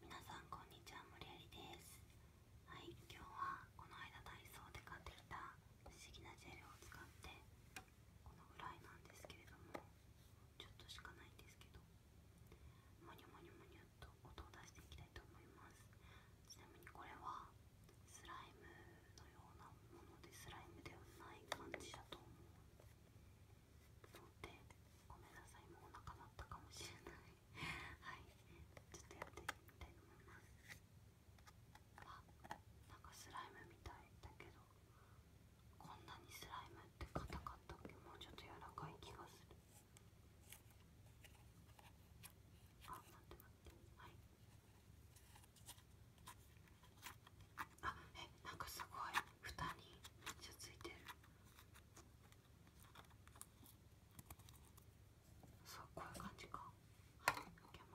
皆さんこんにちは、森有です。はい、今日はこの間体操で買ってきた不思議なジェルを使ってこのぐらいなんですけれども、ちょっとしかないんですけど、モニョモニョモニョっと音を出していきたいと思います。ちなみにこれはスライムのようなものでスライムではない感じだと思う。ごめんなさいもうお腹鳴ったかもしれないはいちょっとやってみたいと思いますあなんかスライムみたいだけどこんなにスライムって硬かったっけもうちょっと柔らかい気がするあ待って待ってはいあえなんかすごい蓋にめっちゃついてるそうこういう感じかはい開けま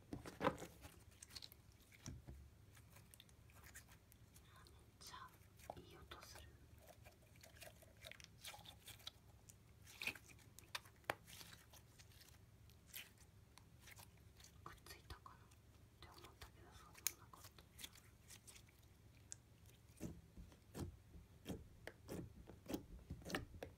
めっちゃいい音する。くっついたかなって思ったけどそうでもなかった。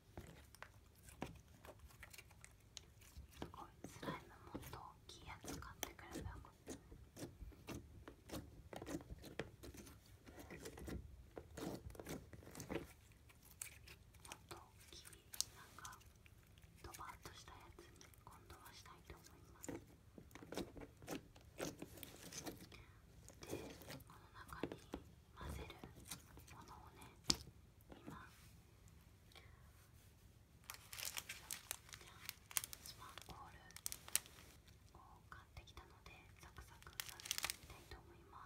すごいスライムもっと大きいやつ買ってくればよかったもっと大きいなんかドバッとしたやつに今度はしたいと思いますでこの中に混ぜるものをね今スパンコールを買ってきたのでサクサク混ぜていきたいと思います。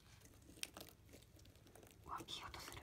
わ起きようとする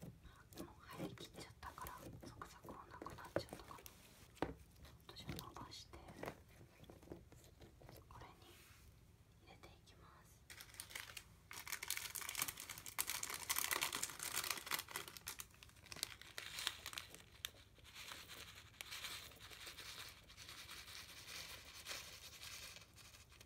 もう張り切っちゃったからサクサクはなくなっちゃったからちょっと伸ばしてこれに入れていきますこ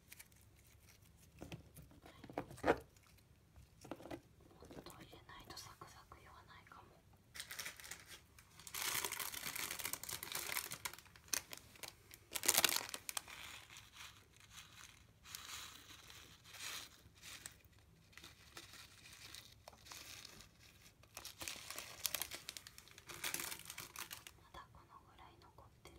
もっと入れないとサクサク言わないかも。まだこのぐらい残ってる。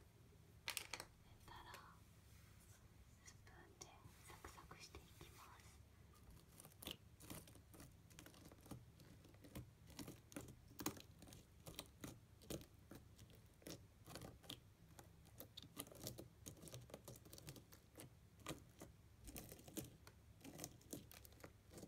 たらスプーンでサクサクしていきますこ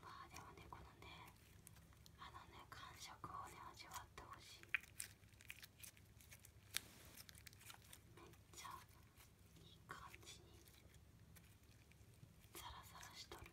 まあでもねこのねあのね感触をね味わってほしいめっちゃいい感じにサラサラしとる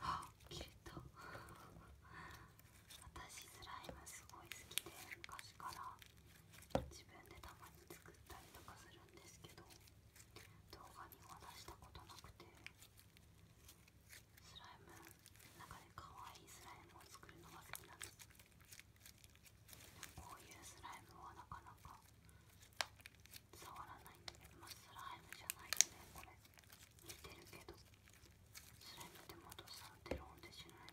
あ消えた 私スライムすごい好きで昔から。自分でたまに作ったりとかするんですけど動画には出したことなくてスライムの中で可愛いスライムを作るのが好きなんですこういうスライムはなかなか触らないんでまスライムじゃないよねこれ似てるけどスライムでてもとさんってローンってしない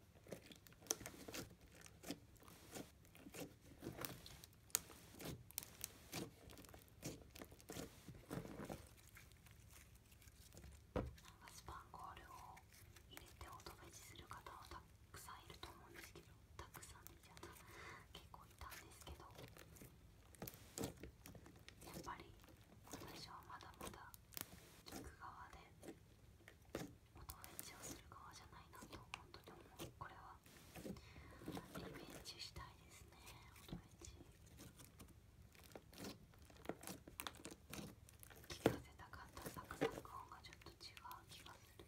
かスパンコールを入れて音ートベジする方はたくさんいると思うんですけどたくさんいちゃっ結構いたんですけどやっぱり私はまだまだ聞く側でお友達をする側じゃないなと本当に思うこれはリベンジしたいですねお友達聞かせたかったサクサク音がちょっと違う気がする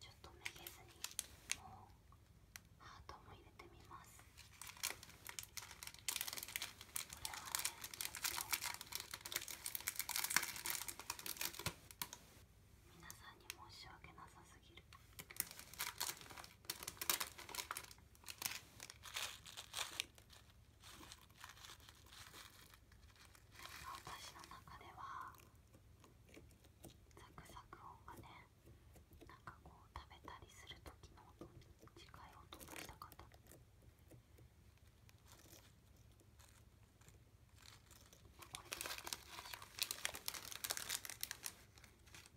ちょっとめげずにもうハートも入れてみますこれはねちょっと皆さんに申し訳なさすぎる。私の中ではサクサク音がねなんかこう食べたりする時の音に近い音がしたかったこれでやってみましょう。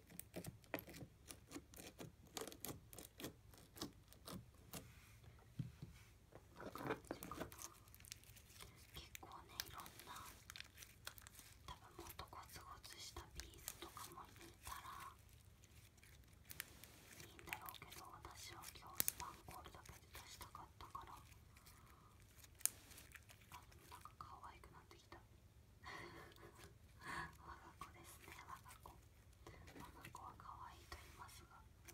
結構ねいろんな多分もっとゴツゴツしたビーズとかも入たらいいんだろうけど私は今日スパンコールだけで出したかったから多分なんか可愛くなってきた。我が子ですね我が子我が子は可愛いと言いますがこ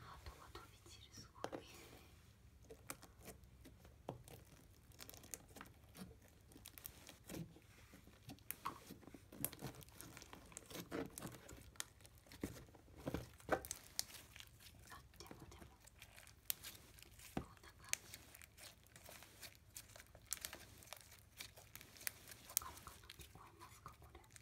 ハートが飛び散るすごいですねもでもこんな感じわかるかと聞こえますかこれ。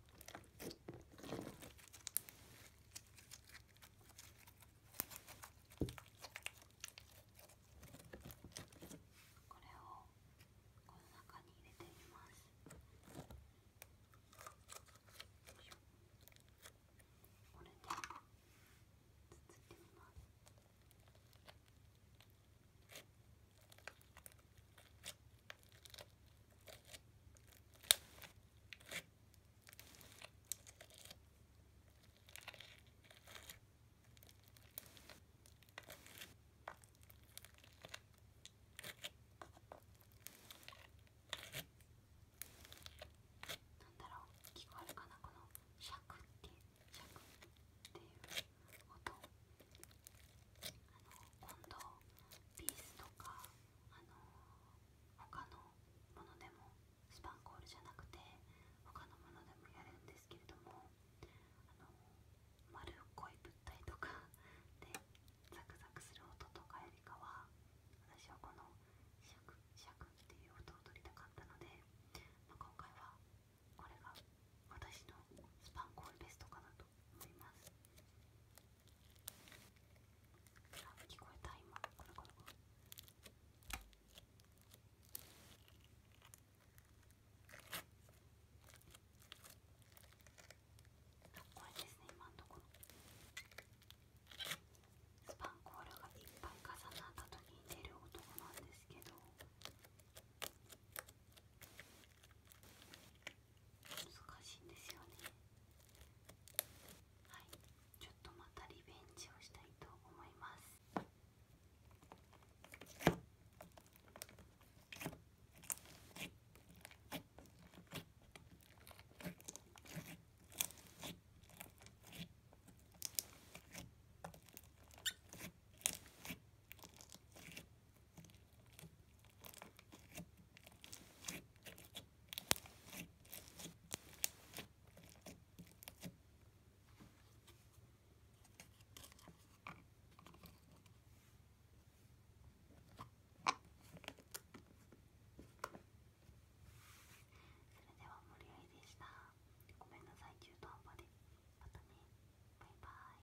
これをこの中に入れてみますいます。だろう聞こえるかなこのシャクっていうシャクっていう音。あの今度ピースとかあの他のものでもスパンコールじゃなくて他のものでもやるんですけれどもあの丸っこい物体とかでザクザクする音とかよりかは私はこのシャクシャクっていう音を取りたかったので、ま今回はこれが私のスパンコールベストかなと思います。あ聞こえた今これですね今のところスパンコールがいっぱい重なった時に出る男なんですけど難しいんですよねはいちょっとまたリベンジをしたいと思いますはいそれでは森愛でしたごめんなさい中途半端でまたねバイバイ